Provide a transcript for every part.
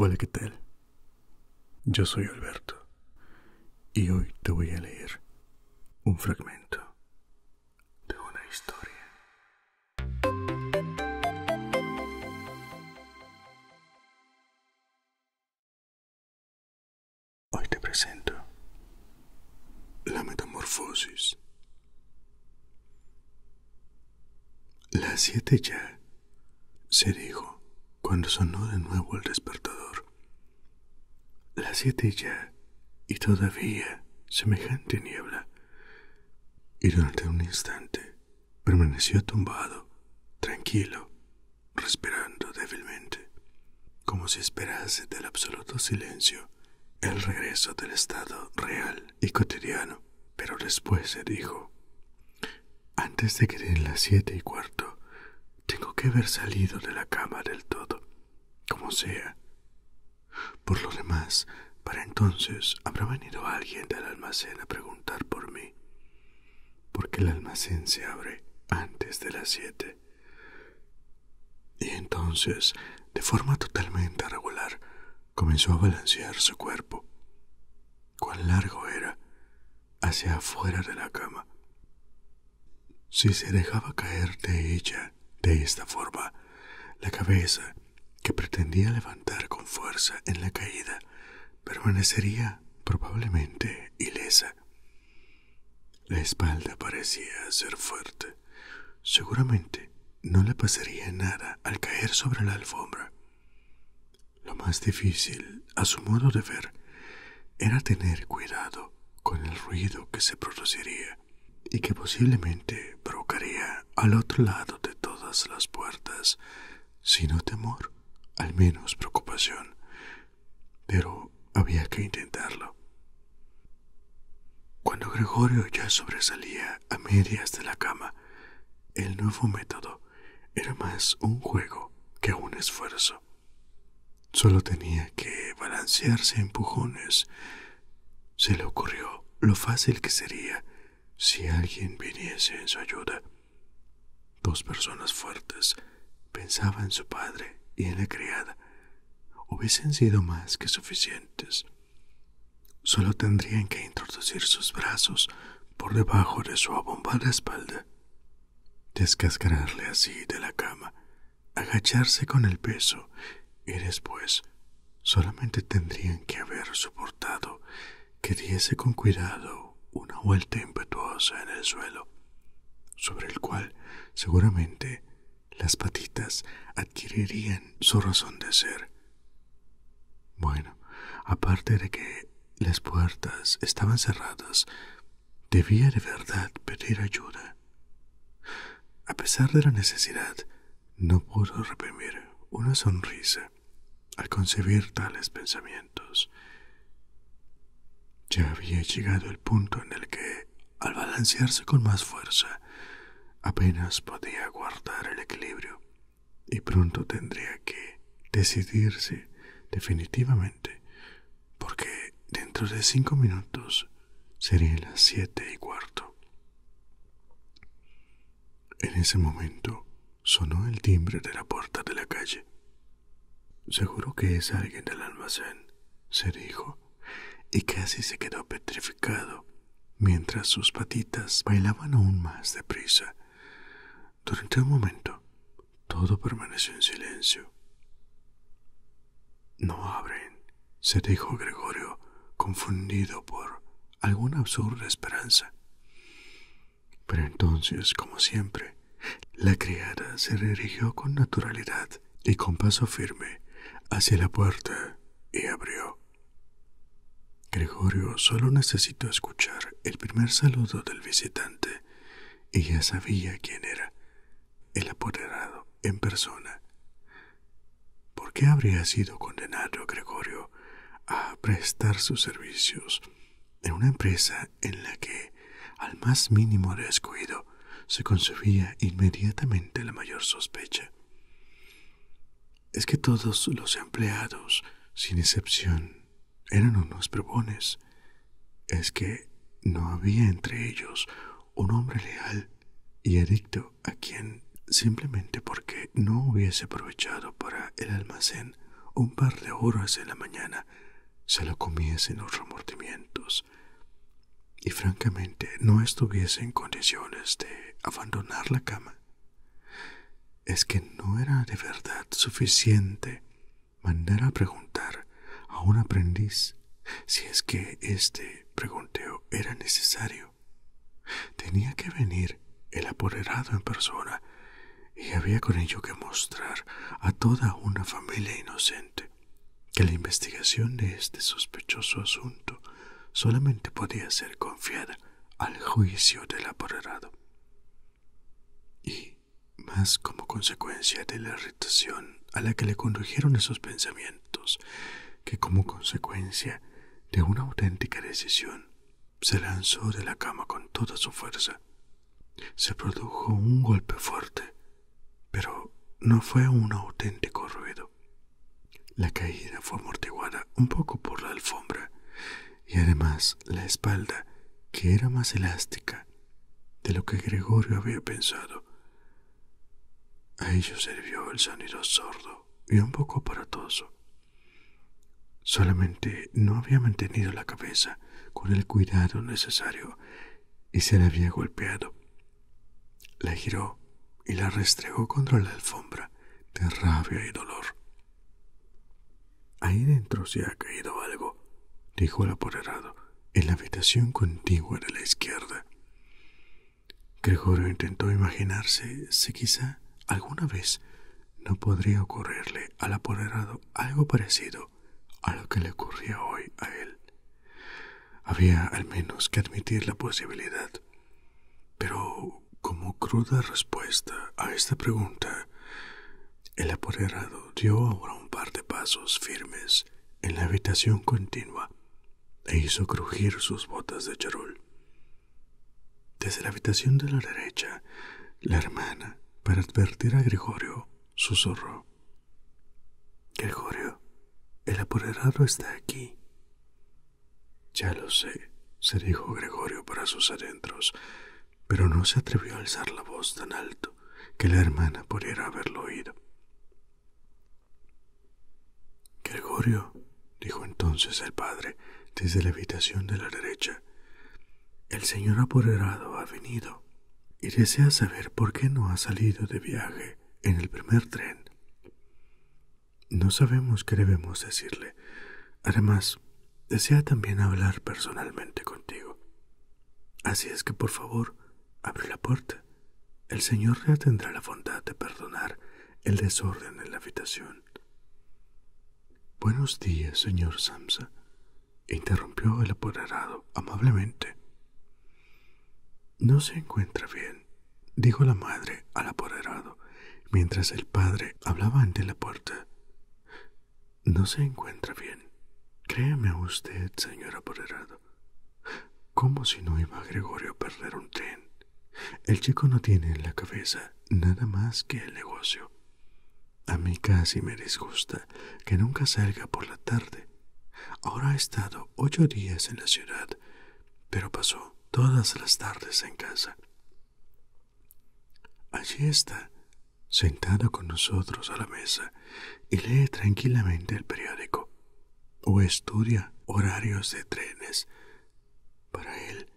Hola, ¿qué tal? Yo soy Alberto y hoy te voy a leer un fragmento de una historia Hoy te presento la metamorfosis. Las siete ya, se dijo cuando sonó de nuevo el despertador. La siete ya, y todavía semejante niebla, y durante un instante permaneció tumbado, tranquilo, respirando débilmente, como si esperase del absoluto silencio el regreso del estado real y cotidiano. Pero después se dijo, antes de que den las siete y cuarto, tengo que haber salido de la cama del todo, como sea, por lo demás, para entonces habrá venido alguien del almacén a preguntar por mí, porque el almacén se abre antes de las siete. Y entonces, de forma totalmente regular, comenzó a balancear su cuerpo. Cuán largo era, hacia afuera de la cama. Si se dejaba caer de ella de esta forma, la cabeza que pretendía levantar con fuerza en la caída permanecería probablemente ilesa. La espalda parecía ser fuerte. Seguramente no le pasaría nada al caer sobre la alfombra. Lo más difícil, a su modo de ver, era tener cuidado con el ruido que se produciría y que posiblemente provocaría al otro lado de todas las puertas, sino temor, al menos preocupación. Pero había que intentarlo. Cuando Gregorio ya sobresalía a medias de la cama, el nuevo método era más un juego que un esfuerzo. Solo tenía que balancearse a empujones. Se le ocurrió lo fácil que sería si alguien viniese en su ayuda. Dos personas fuertes, pensaba en su padre y en la criada, hubiesen sido más que suficientes. Solo tendrían que introducir sus brazos por debajo de su abombada espalda, descascararle así de la cama, agacharse con el peso y después Solamente tendrían que haber soportado que diese con cuidado una vuelta impetuosa en el suelo, sobre el cual seguramente las patitas adquirirían su razón de ser. Bueno, aparte de que las puertas estaban cerradas, debía de verdad pedir ayuda. A pesar de la necesidad, no pudo reprimir una sonrisa al concebir tales pensamientos. Ya había llegado el punto en el que, al balancearse con más fuerza, apenas podía guardar el equilibrio y pronto tendría que decidirse definitivamente, porque dentro de cinco minutos serían las siete y cuarto. En ese momento sonó el timbre de la puerta de la calle. Seguro que es alguien del almacén, se dijo, y casi se quedó petrificado mientras sus patitas bailaban aún más deprisa. Durante un momento, todo permaneció en silencio. No abren, se dijo Gregorio, confundido por alguna absurda esperanza. Pero entonces, como siempre, la criada se dirigió con naturalidad y con paso firme hacia la puerta y abrió. Gregorio solo necesitó escuchar el primer saludo del visitante y ya sabía quién era, el apoderado en persona. ¿Por qué habría sido condenado Gregorio a prestar sus servicios en una empresa en la que, al más mínimo descuido, se concebía inmediatamente la mayor sospecha? Es que todos los empleados, sin excepción, eran unos bribones. Es que no había entre ellos un hombre leal y adicto a quien, simplemente porque no hubiese aprovechado para el almacén un par de horas en la mañana, se lo comiesen los remordimientos y francamente no estuviese en condiciones de abandonar la cama. Es que no era de verdad suficiente mandar a preguntar a un aprendiz si es que este pregunteo era necesario. Tenía que venir el apoderado en persona y había con ello que mostrar a toda una familia inocente que la investigación de este sospechoso asunto solamente podía ser confiada al juicio del apoderado. Y, más como consecuencia de la irritación a la que le condujeron esos pensamientos, que como consecuencia de una auténtica decisión, se lanzó de la cama con toda su fuerza. Se produjo un golpe fuerte, pero no fue un auténtico ruido. La caída fue amortiguada un poco por la alfombra y además la espalda, que era más elástica de lo que Gregorio había pensado. A ello sirvió el sonido sordo y un poco aparatoso. Solamente no había mantenido la cabeza con el cuidado necesario y se la había golpeado. La giró y la restregó contra la alfombra de rabia y dolor. Ahí dentro se ha caído algo, dijo el apoderado, en la habitación contigua de la izquierda. Gregorio intentó imaginarse si quizá alguna vez no podría ocurrirle al apoderado algo parecido a lo que le ocurría hoy a él. Había al menos que admitir la posibilidad. Pero como cruda respuesta a esta pregunta, el apoderado dio ahora un par de pasos firmes en la habitación continua e hizo crujir sus botas de charol. Desde la habitación de la derecha, la hermana, para advertir a Gregorio, susurró. Gregorio, el apoderado está aquí. Ya lo sé, se dijo Gregorio para sus adentros, pero no se atrevió a alzar la voz tan alto que la hermana pudiera haberlo oído. Gregorio, dijo entonces el padre desde la habitación de la derecha, el señor apoderado ha venido y desea saber por qué no ha salido de viaje en el primer tren. No sabemos qué debemos decirle. Además, desea también hablar personalmente contigo. Así es que, por favor, abre la puerta el Señor ya tendrá la bondad de perdonar el desorden en la habitación. Buenos días, señor Samsa, interrumpió el apoderado amablemente. No se encuentra bien, dijo la madre al apoderado, mientras el padre hablaba ante la puerta. No se encuentra bien. créeme usted, señor apoderado. Como si no iba Gregorio a perder un tren? El chico no tiene en la cabeza nada más que el negocio. A mí casi me disgusta que nunca salga por la tarde. Ahora ha estado ocho días en la ciudad, pero pasó todas las tardes en casa. Allí está, sentado con nosotros a la mesa, y lee tranquilamente el periódico o estudia horarios de trenes. Para él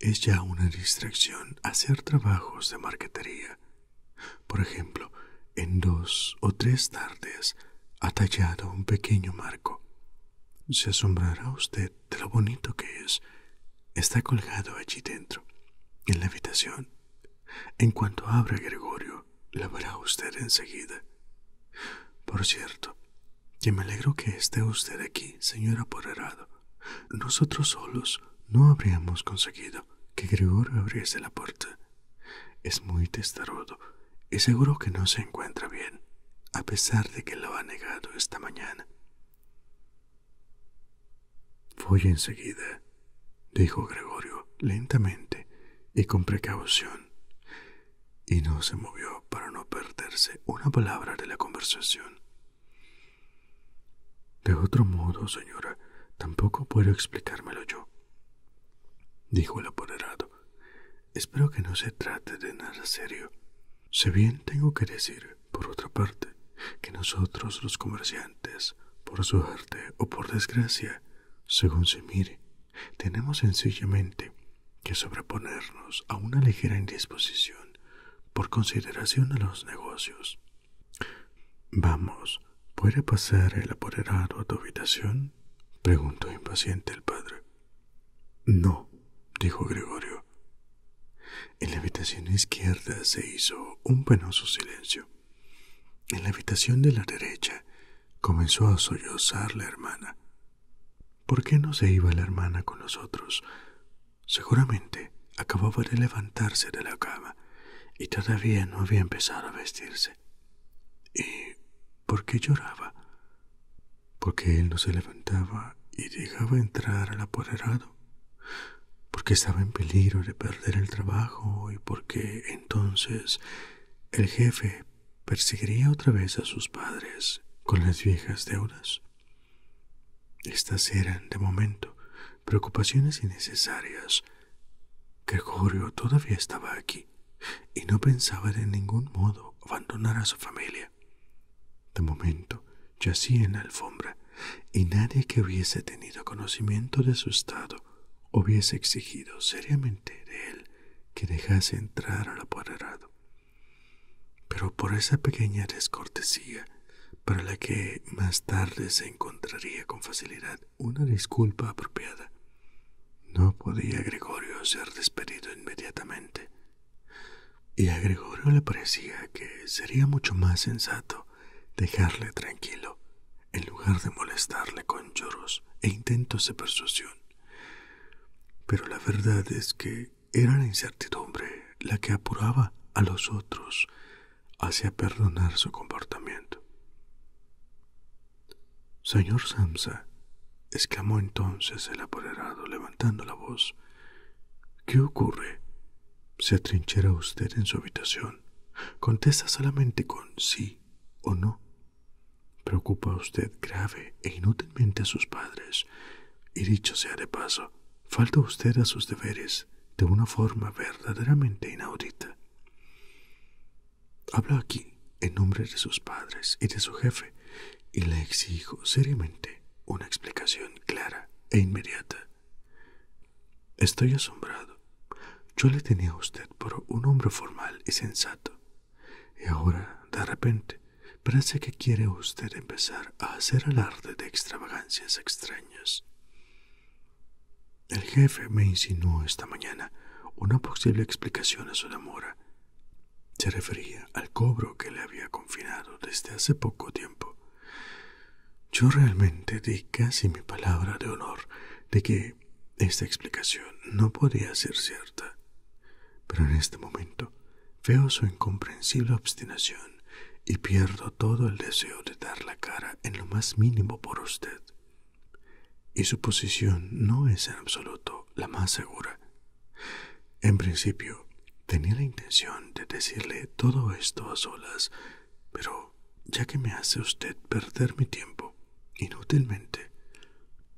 es ya una distracción hacer trabajos de marquetería. Por ejemplo, en dos o tres tardes ha tallado un pequeño marco. Se asombrará usted de lo bonito que es. Está colgado allí dentro, en la habitación. En cuanto abra Gregorio, la verá usted enseguida. Por cierto, que me alegro que esté usted aquí, señora apoderado. Nosotros solos no habríamos conseguido que Gregorio abriese la puerta. Es muy testarudo y seguro que no se encuentra bien, a pesar de que lo ha negado esta mañana. Voy enseguida, dijo Gregorio lentamente y con precaución y no se movió para no perderse una palabra de la conversación. De otro modo, señora, tampoco puedo explicármelo yo, dijo el apoderado. Espero que no se trate de nada serio. Si bien tengo que decir, por otra parte, que nosotros los comerciantes, por suerte o por desgracia, según se mire, tenemos sencillamente que sobreponernos a una ligera indisposición por consideración a los negocios. Vamos, ¿puede pasar el apoderado a tu habitación? preguntó impaciente el padre. No, dijo Gregorio. En la habitación izquierda se hizo un penoso silencio. En la habitación de la derecha comenzó a sollozar la hermana. ¿Por qué no se iba la hermana con nosotros? Seguramente acababa de levantarse de la cama y todavía no había empezado a vestirse. ¿Y por qué lloraba? Porque él no se levantaba y dejaba entrar al apoderado. Porque estaba en peligro de perder el trabajo y porque entonces el jefe perseguiría otra vez a sus padres con las viejas deudas. Estas eran, de momento, preocupaciones innecesarias. Gregorio todavía estaba aquí y no pensaba de ningún modo abandonar a su familia. De momento, yacía en la alfombra y nadie que hubiese tenido conocimiento de su estado hubiese exigido seriamente de él que dejase entrar al apoderado. Pero por esa pequeña descortesía, para la que más tarde se encontraría con facilidad una disculpa apropiada, no podía Gregorio ser despedido inmediatamente. Y a Gregorio le parecía que sería mucho más sensato dejarle tranquilo, en lugar de molestarle con lloros e intentos de persuasión. Pero la verdad es que era la incertidumbre la que apuraba a los otros hacia perdonar su comportamiento. Señor Samsa, exclamó entonces el apoderado levantando la voz, ¿qué ocurre? ¿Se atrinchera usted en su habitación? Contesta solamente con sí o no. Preocupa usted grave e inútilmente a sus padres, y dicho sea de paso, falta usted a sus deberes de una forma verdaderamente inaudita. Hablo aquí en nombre de sus padres y de su jefe, y le exijo seriamente una explicación clara e inmediata. Estoy asombrado. Yo le tenía a usted por un hombre formal y sensato, y ahora, de repente, parece que quiere usted empezar a hacer alarde de extravagancias extrañas. El jefe me insinuó esta mañana una posible explicación a su demora. Se refería al cobro que le había confinado desde hace poco tiempo. Yo realmente di casi mi palabra de honor de que esta explicación no podía ser cierta. Pero en este momento veo su incomprensible obstinación y pierdo todo el deseo de dar la cara en lo más mínimo por usted. Y su posición no es en absoluto la más segura. En principio, tenía la intención de decirle todo esto a solas, pero ya que me hace usted perder mi tiempo, inútilmente,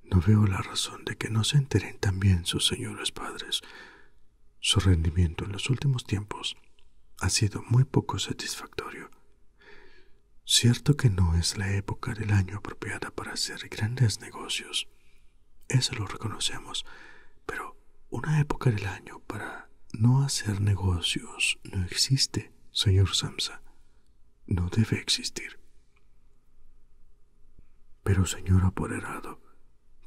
no veo la razón de que no se enteren también sus señores padres. Su rendimiento en los últimos tiempos ha sido muy poco satisfactorio. Cierto que no es la época del año apropiada para hacer grandes negocios. Eso lo reconocemos, pero una época del año para no hacer negocios no existe, señor Samsa. No debe existir. Pero, señor apoderado,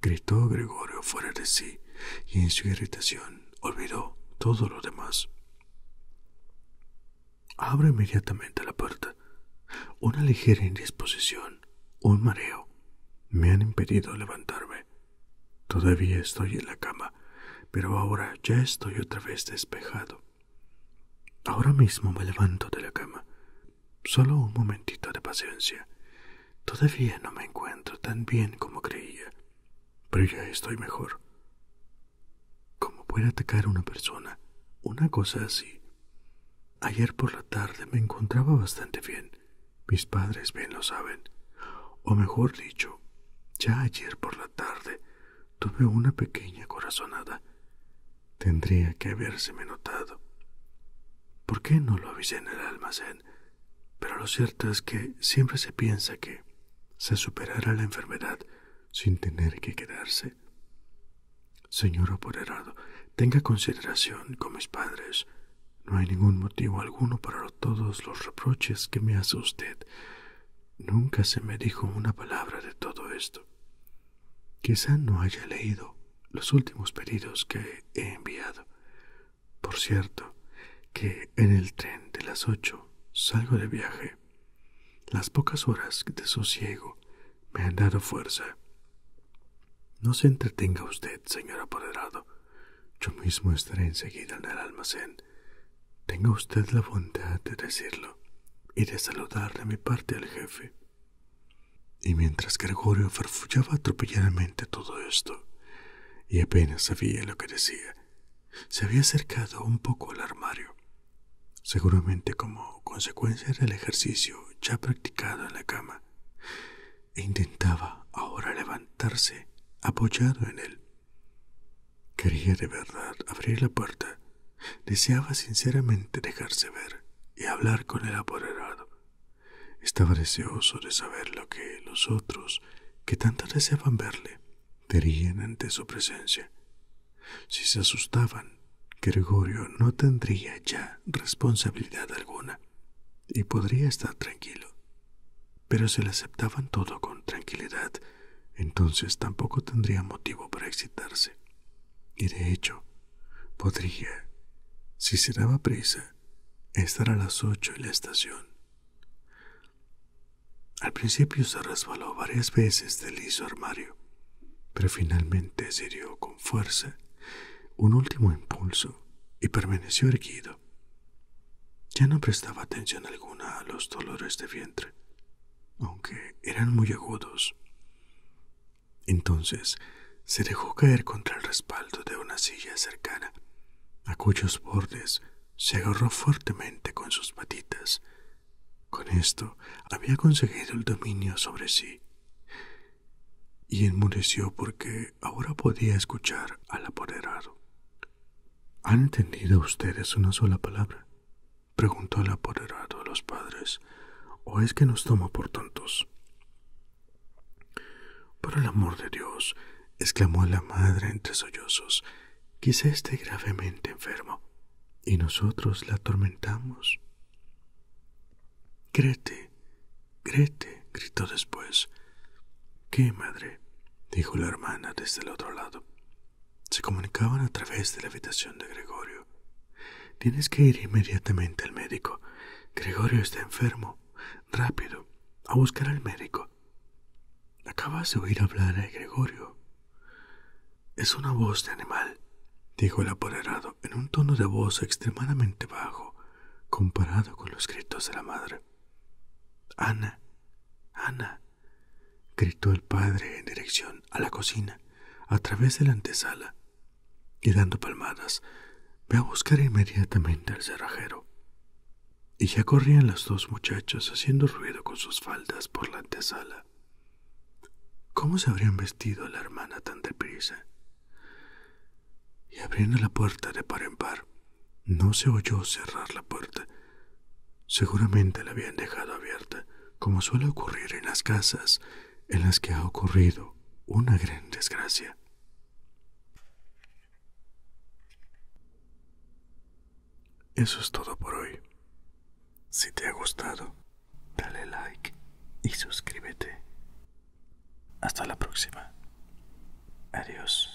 gritó Gregorio fuera de sí, y en su irritación olvidó todo lo demás. Abro inmediatamente la puerta. Una ligera indisposición, un mareo, me han impedido levantarme. Todavía estoy en la cama, pero ahora ya estoy otra vez despejado. Ahora mismo me levanto de la cama. Solo un momentito de paciencia. Todavía no me encuentro tan bien como creía, pero ya estoy mejor. ¿Cómo puede atacar una persona una cosa así? Ayer por la tarde me encontraba bastante bien. Mis padres bien lo saben. O mejor dicho, ya ayer por la tarde tuve una pequeña corazonada. Tendría que habérseme notado. ¿Por qué no lo avisé en el almacén? Pero lo cierto es que siempre se piensa que se superará la enfermedad sin tener que quedarse. Señor apoderado, tenga consideración con mis padres. No hay ningún motivo alguno para todos los reproches que me hace usted. Nunca se me dijo una palabra de todo esto. Quizá no haya leído los últimos pedidos que he enviado. Por cierto, que en el tren de las ocho salgo de viaje. Las pocas horas de sosiego me han dado fuerza. No se entretenga usted, señor apoderado. Yo mismo estaré enseguida en el almacén tenga usted la bondad de decirlo y de saludar de mi parte al jefe. Y mientras Gregorio farfullaba atropelladamente todo esto, y apenas sabía lo que decía, se había acercado un poco al armario, seguramente como consecuencia del ejercicio ya practicado en la cama, e intentaba ahora levantarse apoyado en él. Quería de verdad abrir la puerta. Deseaba sinceramente dejarse ver y hablar con el apoderado. Estaba deseoso de saber lo que los otros, que tanto deseaban verle, dirían ante su presencia. Si se asustaban, Gregorio no tendría ya responsabilidad alguna y podría estar tranquilo. Pero se le aceptaban todo con tranquilidad entonces tampoco tendría motivo para excitarse. Y de hecho, podría, si se daba prisa, estar a las ocho en la estación. Al principio se resbaló varias veces del liso armario, pero finalmente se dio con fuerza un último impulso y permaneció erguido. Ya no prestaba atención alguna a los dolores de vientre, aunque eran muy agudos. Entonces se dejó caer contra el respaldo de una silla cercana, a cuyos bordes se agarró fuertemente con sus patitas. Con esto había conseguido el dominio sobre sí, y enmudeció porque ahora podía escuchar al apoderado. ¿Han entendido ustedes una sola palabra? preguntó el apoderado a los padres, ¿o es que nos toma por tontos? Por el amor de Dios, exclamó la madre entre sollozos, quizá esté gravemente enfermo, y nosotros la atormentamos. Grete, Grete, gritó después. ¿Qué, madre? dijo la hermana desde el otro lado se comunicaban a través de la habitación de Gregorio. Tienes que ir inmediatamente al médico. Gregorio está enfermo. Rápido, a buscar al médico. Acabas de oír hablar a Gregorio. Es una voz de animal, dijo el apoderado en un tono de voz extremadamente bajo comparado con los gritos de la madre. Ana, Ana, gritó el padre en dirección a la cocina, a través de la antesala, y dando palmadas, ve a buscar inmediatamente al cerrajero. Y ya corrían las dos muchachos haciendo ruido con sus faldas por la antesala. ¿Cómo se habrían vestido la hermana tan deprisa? Y abriendo la puerta de par en par, no se oyó cerrar la puerta, Seguramente la habían dejado abierta, como suele ocurrir en las casas en las que ha ocurrido una gran desgracia. Eso es todo por hoy. Si te ha gustado, dale like y suscríbete. Hasta la próxima. Adiós.